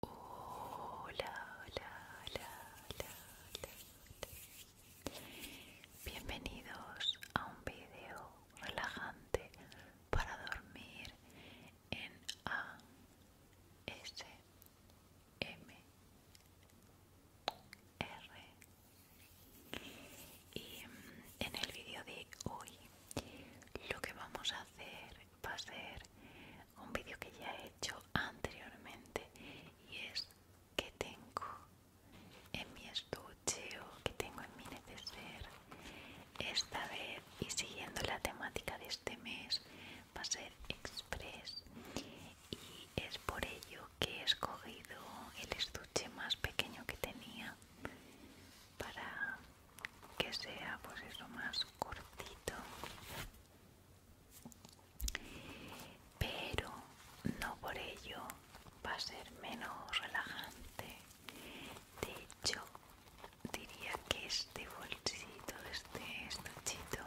Hola, hola, hola, Bienvenidos a un vídeo relajante para dormir en A S M R. Y en el vídeo de hoy lo que vamos a hacer va a ser un vídeo que ya he hecho anteriormente y es que tengo en mi estuche o que tengo en mi neceser esta vez y siguiendo la temática de este mes va a ser express y es por ello que he escogido el estuche más pequeño que tenía para que sea pues eso más cortito pero no por ello va a ser menos relajante de hecho diría que este bolsito este estuchito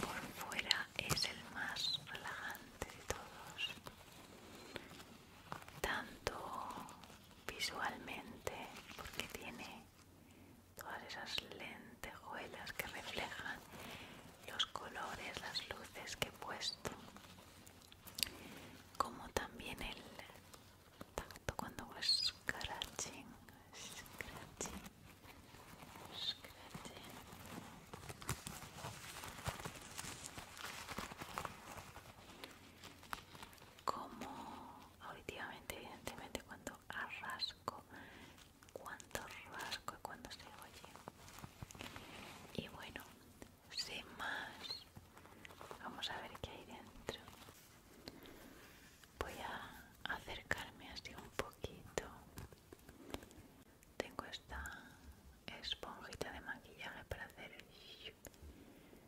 por fuera es el más relajante de todos tanto visualmente porque tiene todas esas lentejuelas que reflejan los colores, las luces que he puesto, como también el tanto cuando hago scratching, scratching, Como auditivamente evidentemente cuando arrasco cuando rasco y cuando se oye y bueno sin más vamos a ver qué hay dentro voy a acercarme así un poquito tengo esta esponjita de maquillaje para hacer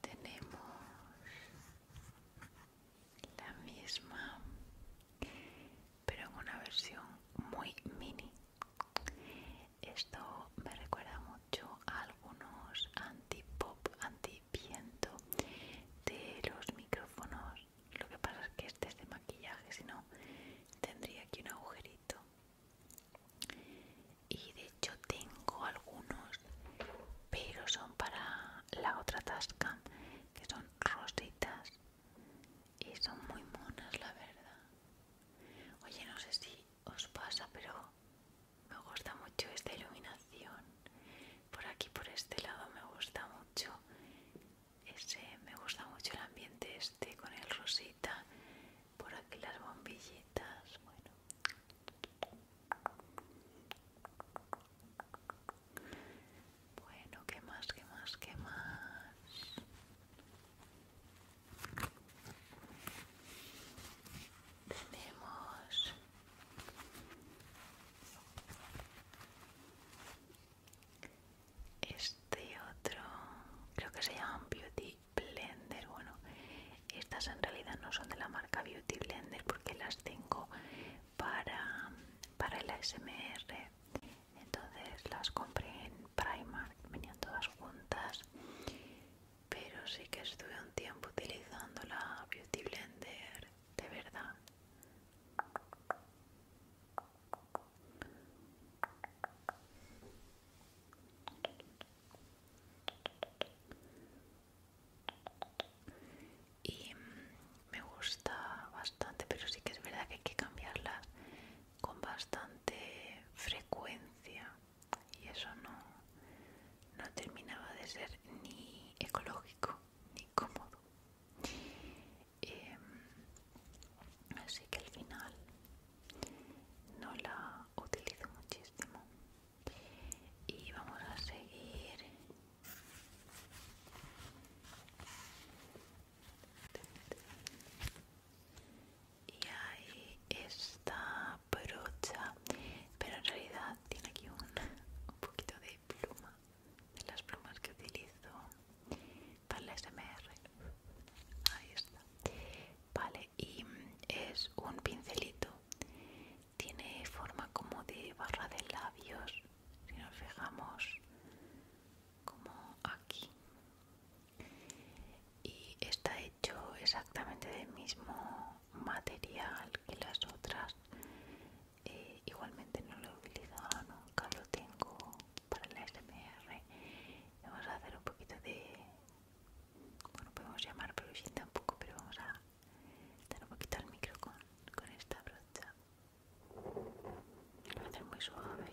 tenemos la misma pero en una versión muy mini esto me recuerda mucho a algunos anti pop anti viento de los micrófonos lo que pasa es que este es de maquillaje si no tendría aquí un agujerito y de hecho tengo algunos, pero son para la otra tasca, que son rositas y son muy monas, la verdad. Oye, no sé si os pasa, pero me gusta mucho esta iluminación. Por aquí, por este lado, me gusta mucho. Ese, me gusta mucho el ambiente este con el rosita. Por aquí las bombillitas. Bueno, bueno, ¿qué más? ¿Qué más? ¿Qué más? Tenemos este otro, creo que se llama Beauty Blender. Bueno, estas en realidad no son de la marca Beauty Blender porque las tengo para, el ASMR. Entonces las compré en Primark, venían todas juntas. Pero sí que estuve un tiempo utilizando la Beauty Blender, de verdad y mm, me gusta bastante pero sí que es verdad que hay que cambiarlas con bastante frecuencia y eso no, terminaba de ser ni ecológico ni cómodo em, así que al final no la utilizo muchísimo y vamos a seguir y ahí está brocha pero en realidad tiene aquí un, poquito de pluma de las plumas que utilizo para la SMR ahí está vale y mm, es un pincelito tiene forma como de barra de labios si nos fijamos como aquí y está hecho exactamente del mismo material que las otras eh, igualmente no lo he utilizado nunca lo tengo para la SMR vamos a hacer un poquito de bueno, podemos llamar un tampoco, pero vamos a dar un poquito al micro con, esta brocha. Lo a hacer muy suave.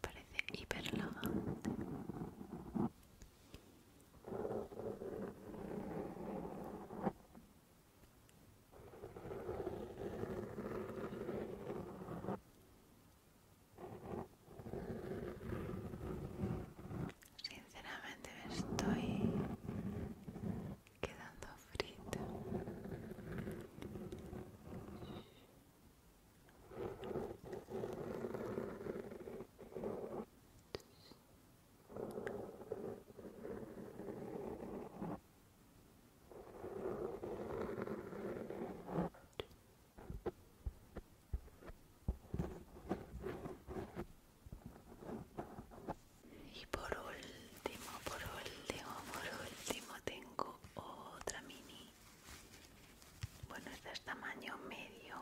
Parece hiperlodo. Sinceramente me estoy quedando frita. Y por último, por último, por último tengo otra mini. Bueno, esta es este tamaño medio,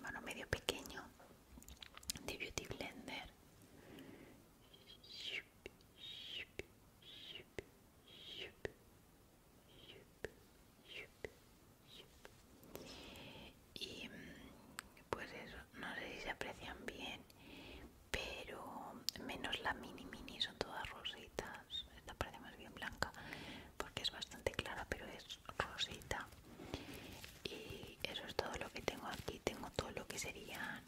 bueno, medio pequeño de Beauty Blender y pues eso no sé si se aprecian bien pero menos la mini mini son todas rositas esta parece más bien blanca porque es bastante clara pero es rosita y eso es todo lo que tengo aquí tengo todo lo que serían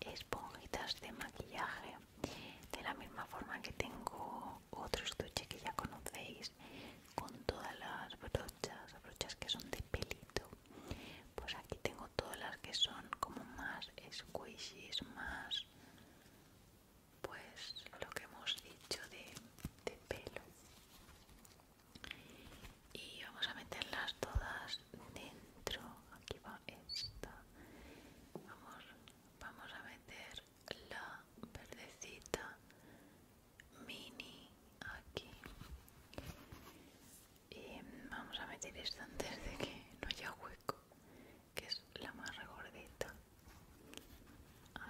esponjitas de maquillaje de la misma forma que tengo otro estuche que ya conocéis con todas las pues, brochas, que son de pelito. Pues aquí tengo todas las que son como más squishies, más pues lo que hemos dicho de, de pelo. Y vamos a meterlas todas dentro. Aquí va esta. Vamos, vamos a meter la verdecita mini aquí y vamos a meter esto antes de que no haya hueco que es la más regordita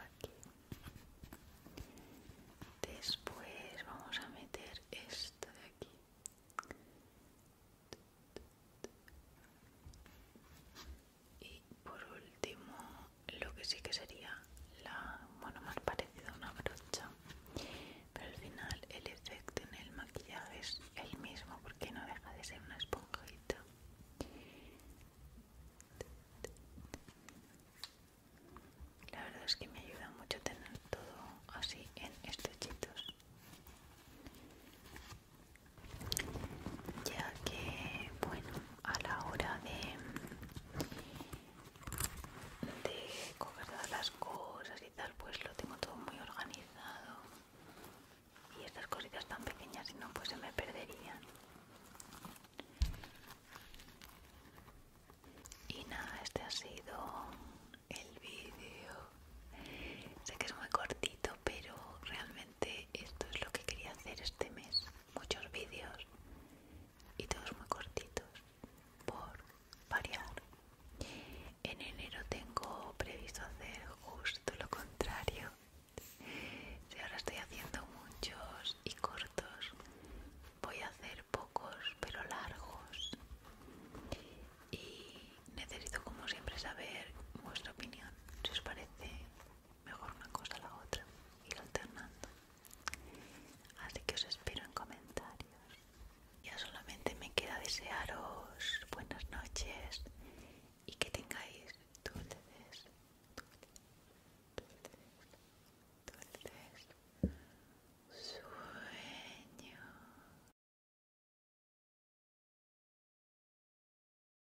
aquí después vamos a meter esto de aquí y por último lo que sí que sería la bueno más parecido a una brocha pero al final el efecto en el maquillaje es el mismo porque no deja de ser una esponjita la verdad es que me ayuda mucho tener todo así en estuchitos ya que bueno a la hora de, de coger todas las cosas y tal, pues lo tengo todo muy organizado. Y estas cositas tan pequeñas, si no, pues se me perderían. Y nada, este ha sido el vídeo. Sé que es muy cortito, pero realmente esto es lo que quería hacer este mes muchos vídeos y todos muy cortitos por variar. En enero tengo previsto hacer justo lo contrario. Si ahora estoy haciendo muchos y cortos, voy a hacer pocos pero largos. Y necesito como siempre saber vuestra opinión, si os parece mejor una cosa a la otra, ir alternando. Así que os espero en comentarios. Ya solamente me queda desearos buenas noches y que tengáis dulces, dulces, dulces, dulces sueños.